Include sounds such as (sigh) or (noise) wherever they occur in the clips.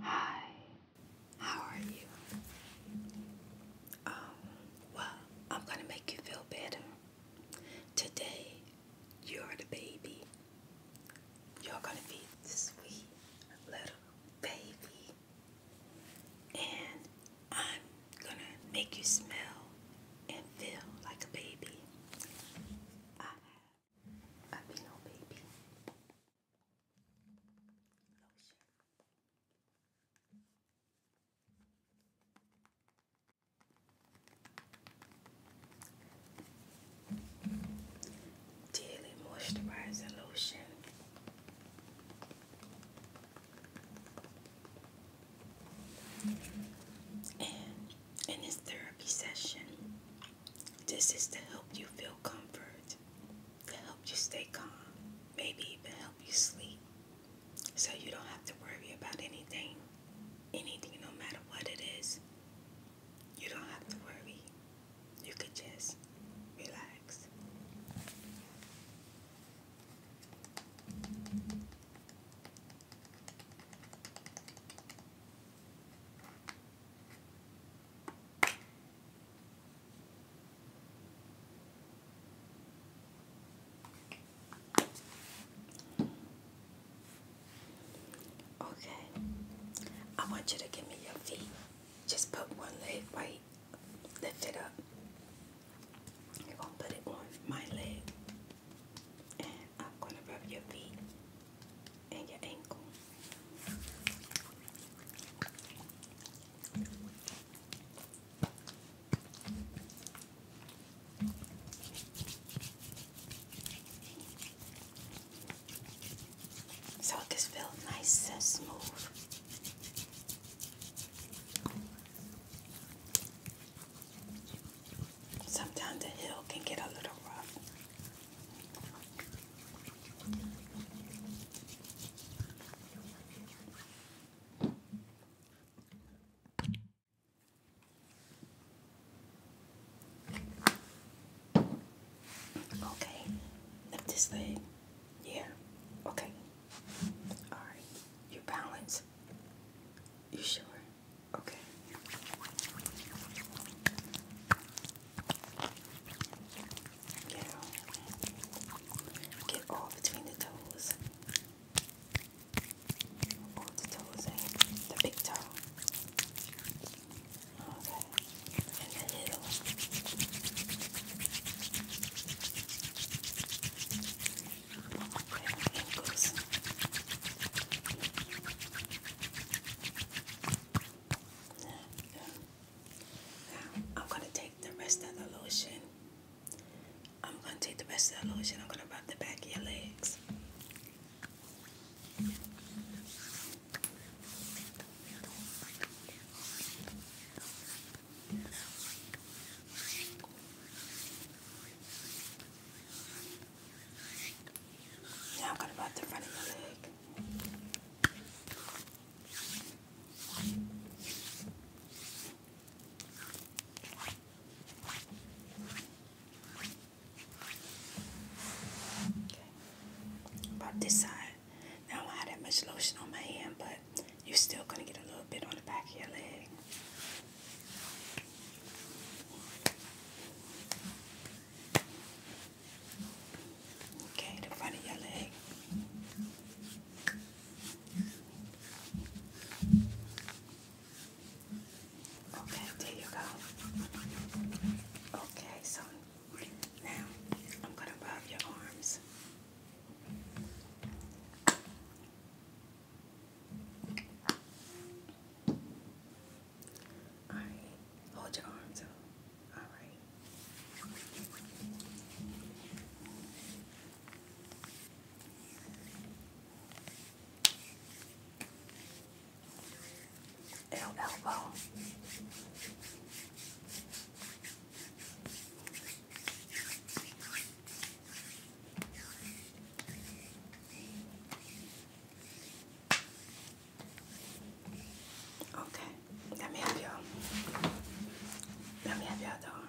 Hi, how are you? Um, well, I'm going to make you feel better. Today, you're the baby. You're going to be the sweet little baby. And I'm going to make you smell and feel like a baby. I have a Beano Baby Daily moisturizing lotion. And in this therapy session, this is to help you feel comfort, to help you stay calm, maybe even help you sleep. So you don't have to worry about anything, anything, no matter what it is. You don't have to worry. You can just relax. Okay. I want you to give me your feet. Just put one leg right. Lift it up. you going to put it on my leg. And I'm going to rub your feet and your ankle. So it just feels nice and smooth. Sometimes the hill can get a little rough. Okay, lift this leg. Yeah, okay. Alright, you balance. You sure? Okay. Get all between the toes. Or the toes the big toe. Okay. And the little. Okay, Now, I'm going to take the rest of the lotion I'm going to take the rest of that lotion. I'm going to rub the back of your legs. Now I'm going to rub the front of your leg. About this side. Now I don't have that much lotion on my hand, but you're still gonna get a little bit on the back of your leg. Okay, the front of your leg. Okay, there you go. Okay, so now I'm going to rub your arms. All right, hold your arms up. All right elbow. Okay, let me have your, let me have your door.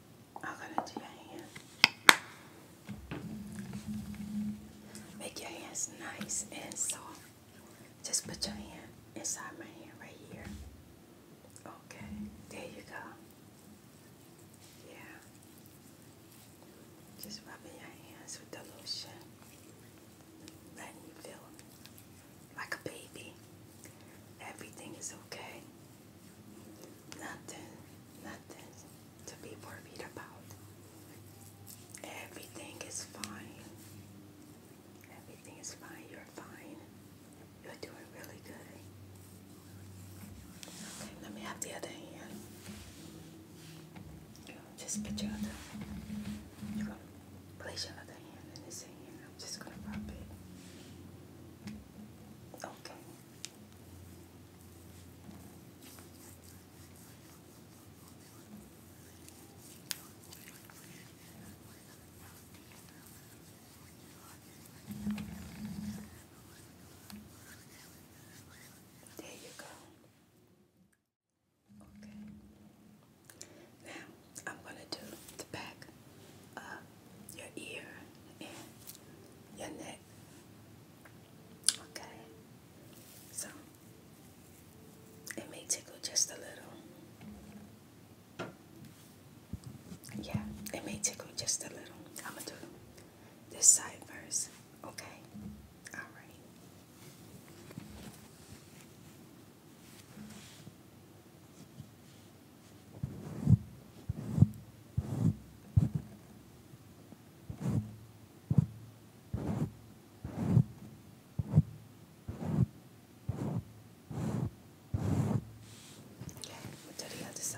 I am going to do your hand. Make your hands nice and soft. Just put your hand inside my hand right here. Okay, there you go. Yeah. Just rubbing your hands with the lotion. Letting you feel like a baby. Everything is okay. Nothing, nothing to be worried about. Everything is fine. Everything is fine. You're fine. You're doing really good. Okay, let me have the other hand. Just put your other. You're gonna place your other hand in this hand. I'm just gonna rub it. Okay. There you go. Okay. Now I'm going to do the back your ear, and your neck. Okay, so it may tickle just a little. Yeah, it may tickle just a little. I'm gonna do this side first. Okay, all right. Okay, what did he have to say?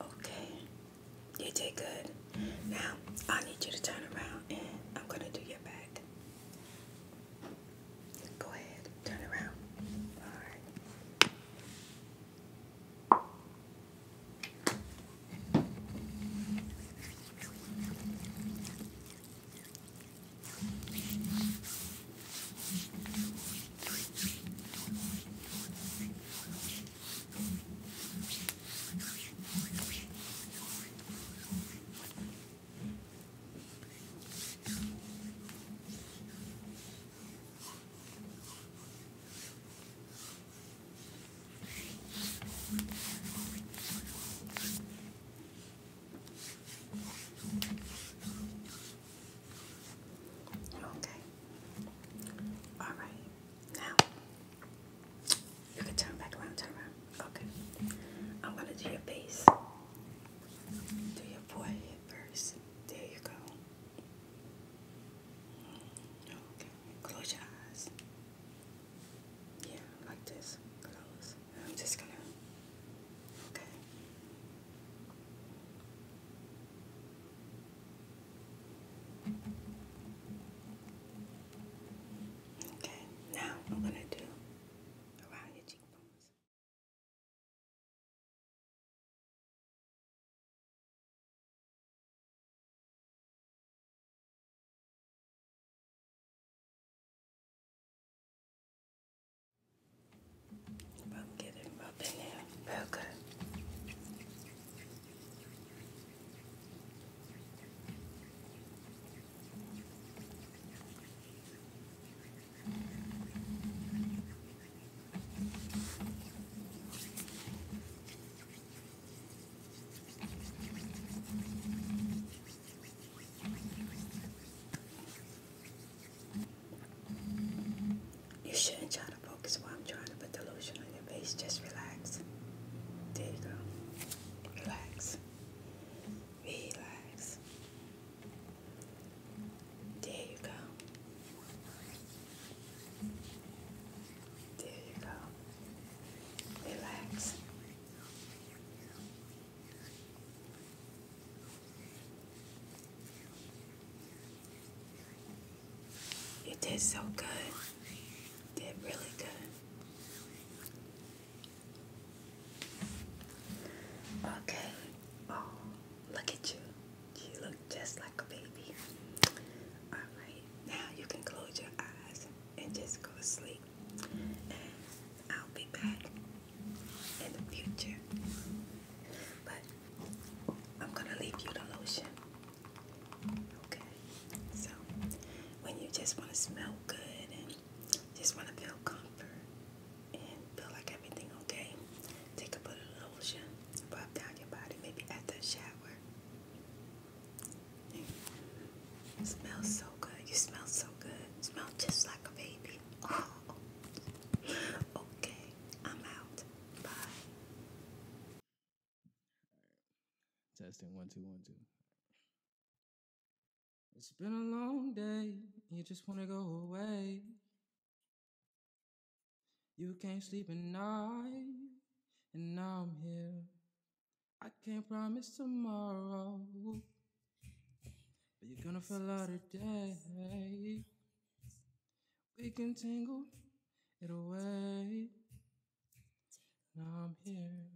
Okay, you did good. Now I need you to turn around and I'm going to do your back. Go ahead, turn around. All right. Okay. All right. Now you can turn back around, turn around. Okay. I'm gonna do your base. Do your forehead first. There you go. Okay, close your eyes. Yeah, like this. Close. I'm just gonna. Okay. Okay, now I'm gonna do around your cheekbones. I'm getting up in there. Real you shouldn't try to focus while I'm trying to put the lotion on your face. Just relax. There you go. Relax. Relax. There you go. There you go. Relax. You did so good. You did really good. Okay. Oh, look at you. You look just like a baby. Alright, now you can close your eyes and just go to sleep. And I'll be back in the future. But I'm gonna leave you the lotion. Okay. So when you just want to smell good and just want to feel comfort, and feel like everything okay. Take a bit of lotion, rub down your body, maybe at the shower. It smells so good. You smell so good. smell just like a baby. Oh. (laughs) Okay, I'm out. Bye. Testing one two one two. It's been a long day, you just wanna go away. You can't sleep at night, and now I'm here. I can't promise tomorrow, but you're gonna feel out today. We can tangle it away. Now I'm here.